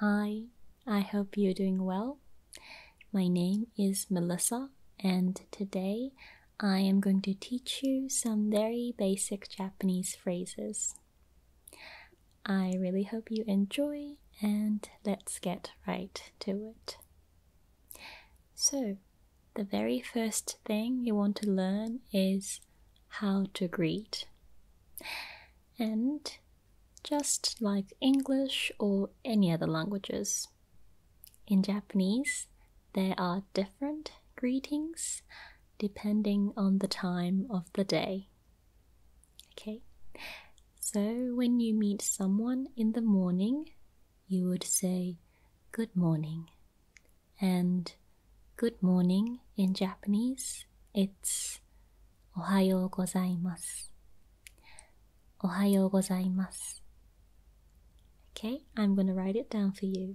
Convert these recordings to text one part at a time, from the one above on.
Hi, I hope you're doing well. My name is Melissa, and today I am going to teach you some very basic Japanese phrases. I really hope you enjoy, and let's get right to it. So, the very first thing you want to learn is how to greet. And just like English or any other languages. In Japanese, there are different greetings depending on the time of the day. Okay, so when you meet someone in the morning, you would say good morning. And good morning in Japanese, it's おはようございます。おはようございます。o k a I'm g o i n g to write it down for you.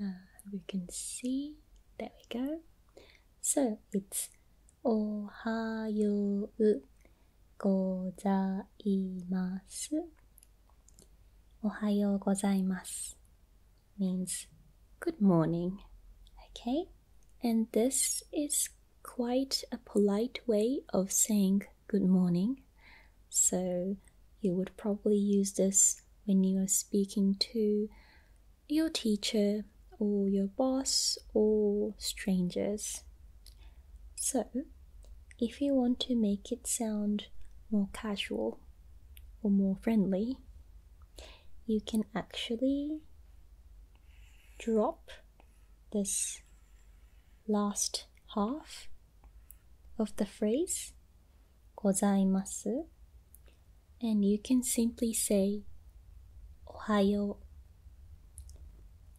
uh, we can see there we go so it's ohayo gozaimasu ohayo gozaimasu means good morning okay and this is quite a polite way of saying good morning so you would probably use this when you are speaking to your teacher or your boss or strangers. So if you want to make it sound more casual or more friendly, you can actually drop this last half of the phrase gozaimasu. And you can simply say ohayo,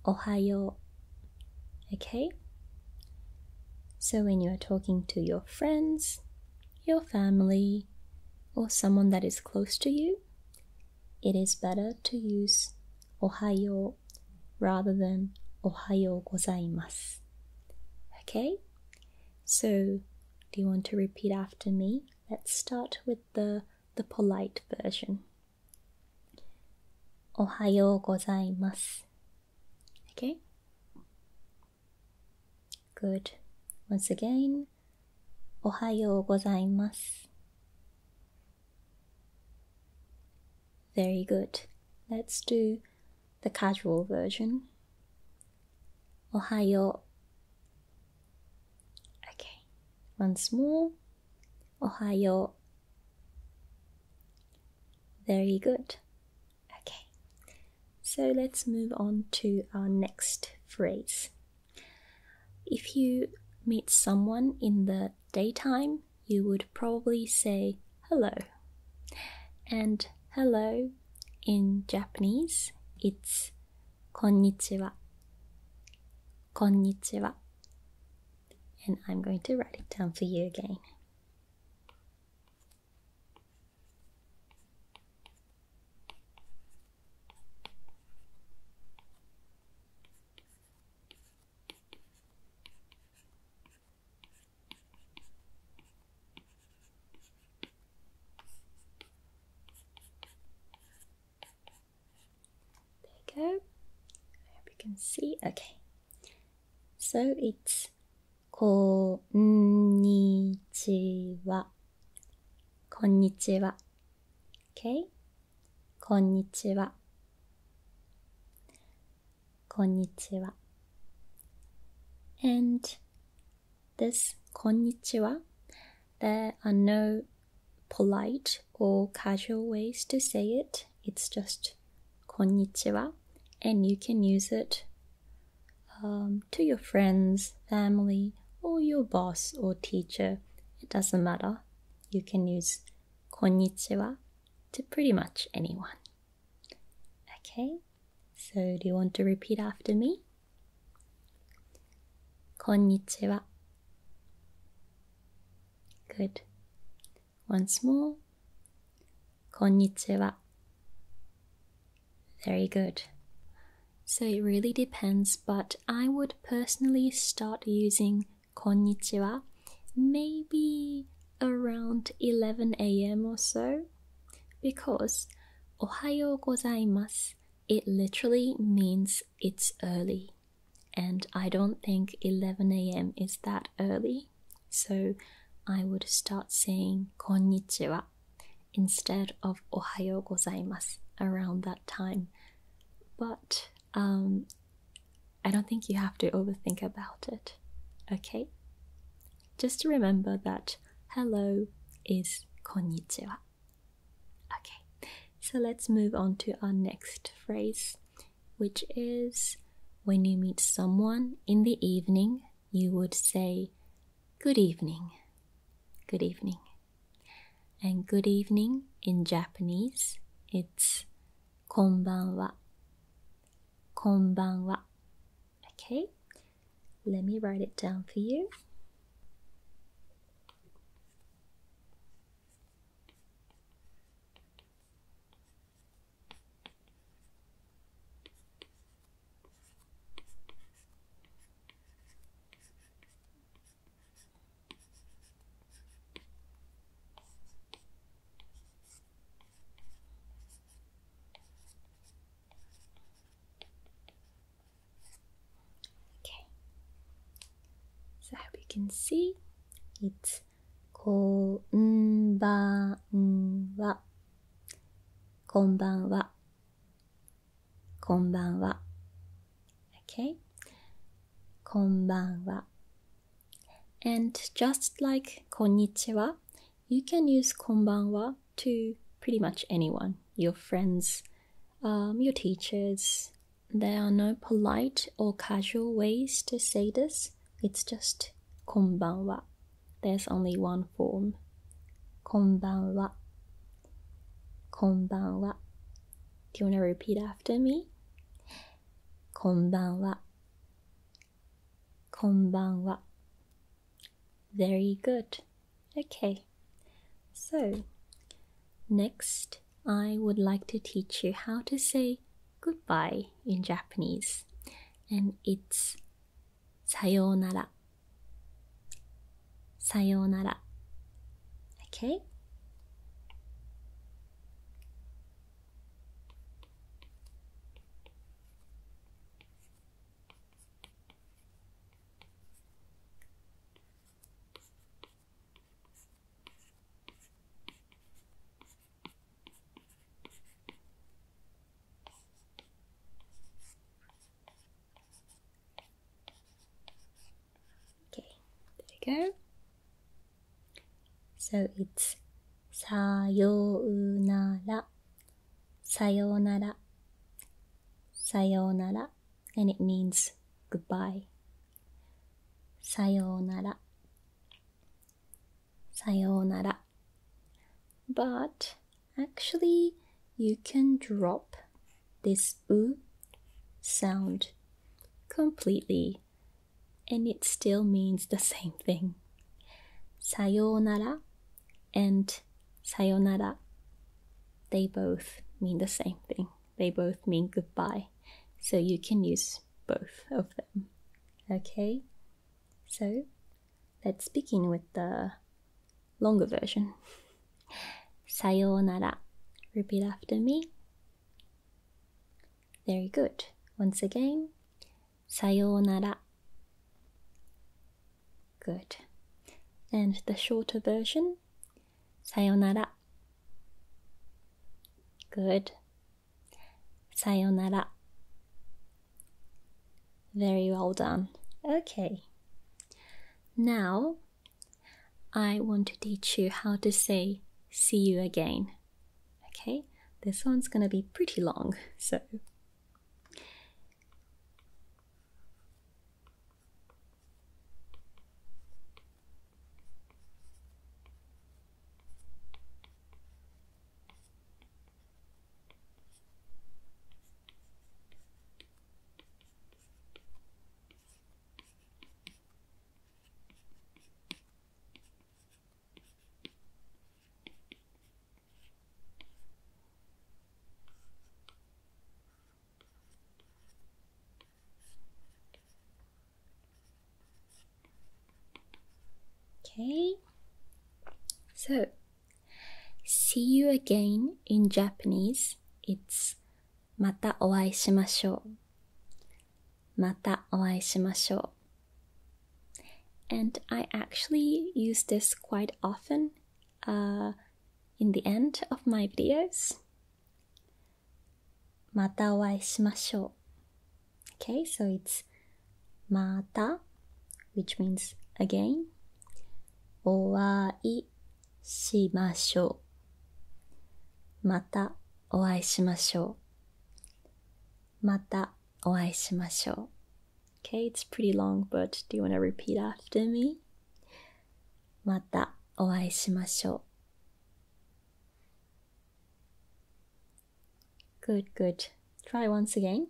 ohayo. Okay? So when you are talking to your friends, your family, or someone that is close to you, it is better to use ohayo rather than ohayo gozaimasu. Okay? So, do you want to repeat after me? Let's start with the the polite version. Ohayo gozaimasu. Okay? Good. Once again, Ohayo gozaimasu. Very good. Let's do the casual version. Ohayo. Okay, once more. Ohayo. Very good. Okay, so let's move on to our next phrase. If you meet someone in the daytime, you would probably say hello. And hello in Japanese, it's konnichiwa. Konnichiwa. And I'm going to write it down for you again. There you go. I hope you can see. Okay. So it's こんにちは。こんにちは。Okay? こんにちは。konnichiwa. And this konnichiwa, there are no polite or casual ways to say it. It's just konnichiwa, and you can use it um, to your friends, family, or your boss or teacher. It doesn't matter. You can use konnichiwa to pretty much anyone. Okay, so do you want to repeat after me? Konnichiwa. Good. Once more. Konnichiwa. Very good. So it really depends, but I would personally start using konnichiwa maybe around 11 a.m. or so because Ohayo gozaimasu it literally means it's early and I don't think 11 a.m. is that early so I would start saying konnichiwa instead of ohayo gozaimasu around that time but um I don't think you have to overthink about it okay just to remember that hello is konnichiwa. Okay, so let's move on to our next phrase, which is when you meet someone in the evening, you would say good evening. Good evening. And good evening in Japanese, it's konbanwa. Konbanwa. Okay, let me write it down for you. Okay. So I hope you can see it's こんばんは。こんばんは。こんばんは。Okay? こんばんは。And just like こんにちは you can use konbanwa to pretty much anyone your friends, um, your teachers. There are no polite or casual ways to say this, it's just konbanwa. There's only one form. Konbanwa. Konbanwa. Do you want to repeat after me? Konbanwa. Konbanwa. Very good. Okay. So, next I would like to teach you how to say goodbye in Japanese. And it's sayonara. Sayonara. Okay? Okay, there you go. So it's さようなら、さようなら、さようなら。And it means goodbye. さようなら、さようなら。But actually, you can drop this u sound completely and it still means the same thing. Sayonara and sayonara. They both mean the same thing. They both mean goodbye. So you can use both of them. Okay? So let's begin with the longer version. Sayonara. Repeat after me. Very good. Once again. Sayonara. Good. And the shorter version? Sayonara. Good. Sayonara. Very well done. Okay. Now, I want to teach you how to say see you again. Okay, this one's going to be pretty long, so. Okay. So, see you again in Japanese. It's またお会いしましょう。またお会いしましょう。And I actually use this quite often uh, in the end of my videos. またお会いしましょう Okay, so it's また which means again お会いしましょうまたお会いしましょうまたお会いしましょう。Okay, it's pretty long, but do you want to repeat after me? またお会いしましょう。Good, good. Try once again.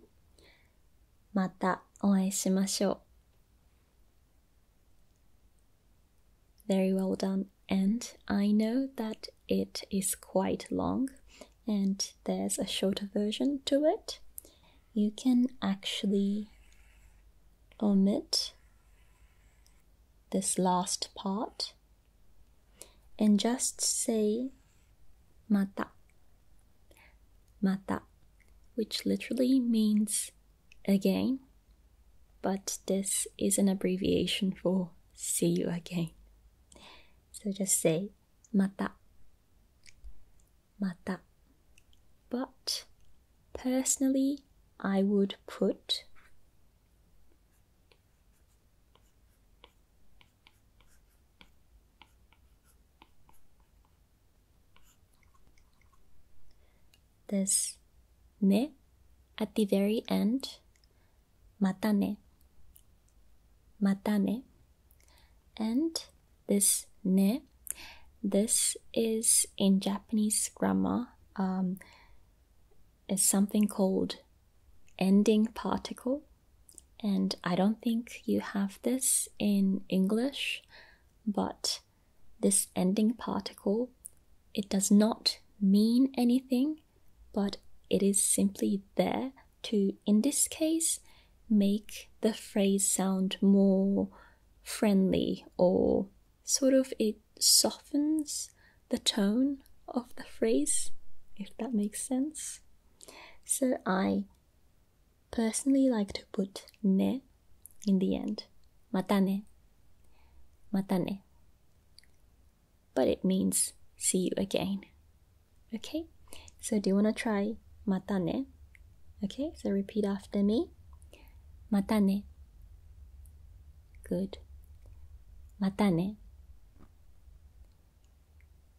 またお会いしましょう。Very well done. And I know that it is quite long and there's a shorter version to it. You can actually omit this last part and just say mata mata which literally means again but this is an abbreviation for see you again so just say mata. Mata. But personally, I would put this ne at the very end matane, matane. And this ne, this is in Japanese grammar um, is something called ending particle. And I don't think you have this in English, but this ending particle, it does not mean anything but it is simply there to, in this case, make the phrase sound more friendly or sort of it softens the tone of the phrase, if that makes sense. So I personally like to put ne in the end. mata ne. Mata ne but it means see you again. Okay, so do you want to try mata ne? Okay, so repeat after me. Mata ne. Good. Mata ne.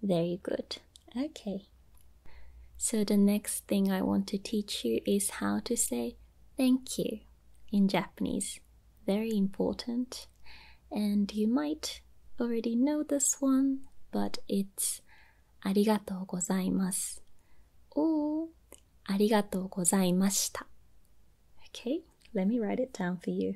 Very good. Okay. So the next thing I want to teach you is how to say thank you in Japanese very important, and you might already know this one, but it's "arigato "arigato gozaimasu" ありがとうございます。or Okay, let me write it down for you.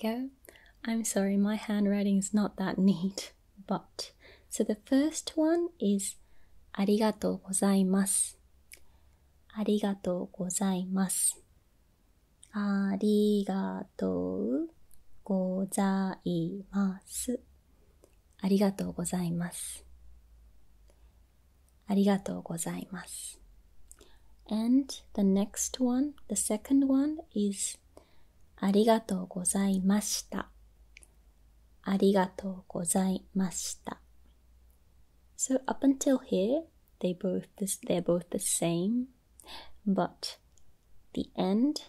Go. I'm sorry, my handwriting is not that neat, but so the first one is gozaimasu. gozaimasu. ありがとうございます。ありがとうございます。ありがとうございます。And the next one, the second one is ありがとうございました。ありがとうございました。So up until here, they both, they're both the same. but the end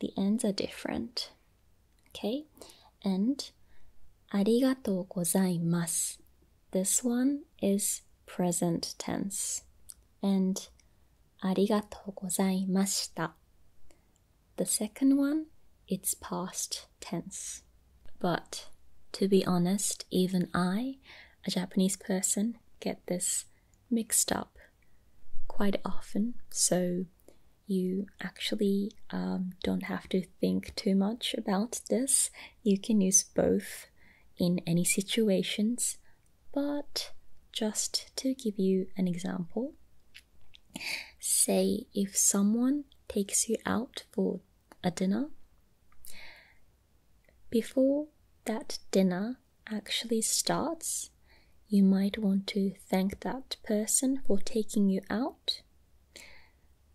the ends are different okay and arigatou gozaimasu this one is present tense and arigatou gozaimashita the second one it's past tense but to be honest even i a japanese person get this mixed up quite often, so you actually um, don't have to think too much about this. You can use both in any situations, but just to give you an example, say if someone takes you out for a dinner, before that dinner actually starts, you might want to thank that person for taking you out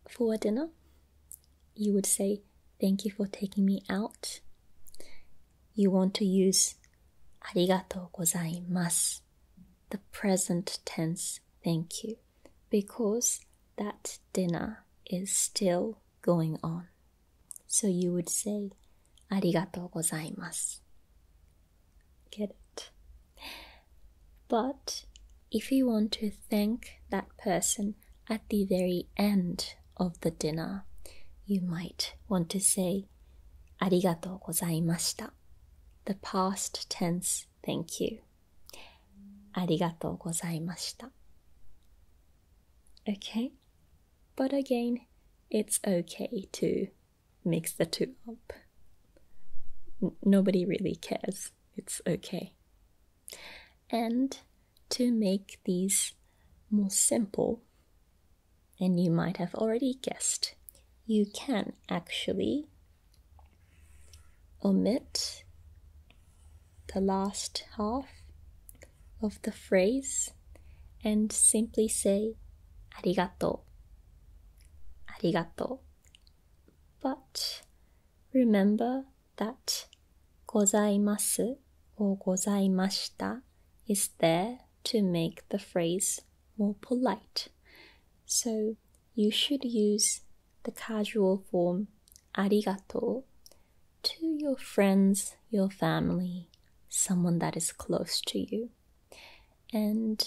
for dinner. You would say, Thank you for taking me out. You want to use ありがとうございます the present tense thank you because that dinner is still going on. So you would say, ありがとうございます. Get it? But if you want to thank that person at the very end of the dinner, you might want to say, ありがとうございました. The past tense, thank you. ありがとうございました. Okay? but again, it's okay to mix the two up. nobody really cares. It's okay. And to make these more simple, and you might have already guessed, you can actually omit the last half of the phrase and simply say arigato. Arigato. But remember that gozaimasu or gozaimashita is there to make the phrase more polite. So you should use the casual form arigato to your friends, your family, someone that is close to you. And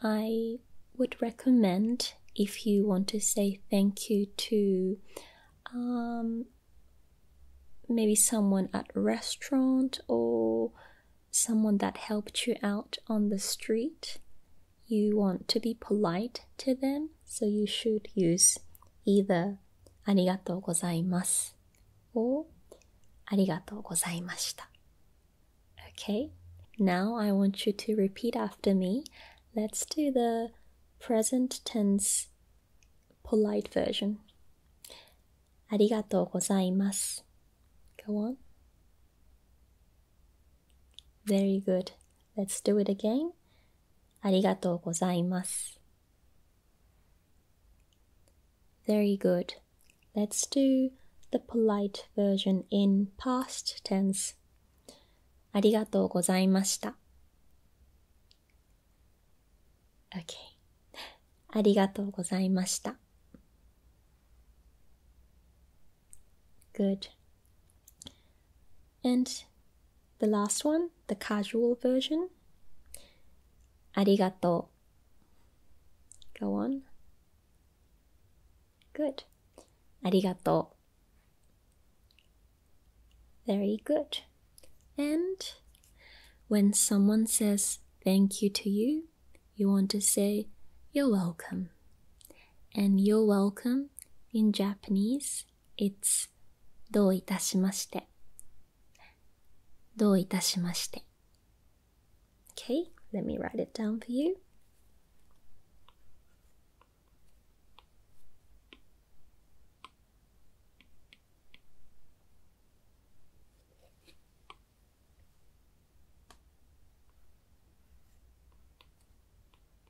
I would recommend if you want to say thank you to um, maybe someone at restaurant or someone that helped you out on the street. You want to be polite to them, so you should use either ありがとうございますをありがとうございました。Okay, now I want you to repeat after me. Let's do the present tense polite version. ありがとうございます。Go on. Very good. Let's do it again. ありがとうございます。very good. Let's do the polite version in past tense. ありがとうございました。Okay. ありがとうございました。Good. And the last one, the casual version. Arigato. Go on. Good. Arigato. Very good. And when someone says thank you to you, you want to say you're welcome. And you're welcome in Japanese, it's。どういたしまして。どういたしまして。Okay, let me write it down for you. どういたしまして。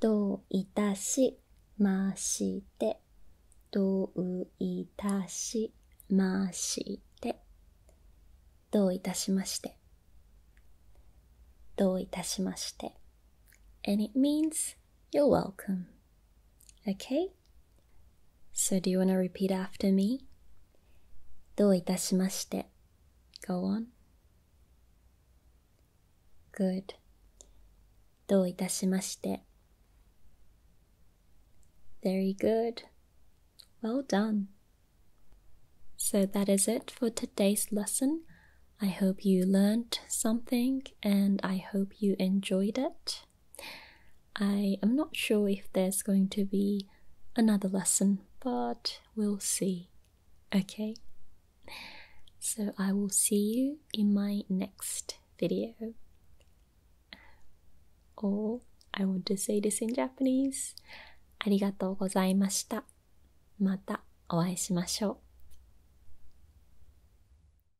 どういたしまして。どういたしまして。どういたしまして。どういたしまして。And means You're welcome. Okay? So do you want to repeat after me? Do どういたしまして Go on. Good. Do どういたしまして Very good. Well done. So that is it for today's lesson. I hope you learned something and I hope you enjoyed it. I am not sure if there's going to be another lesson, but we'll see. Okay? So I will see you in my next video. Or I want to say this in Japanese. ありがとうございました。またお会いしましょう。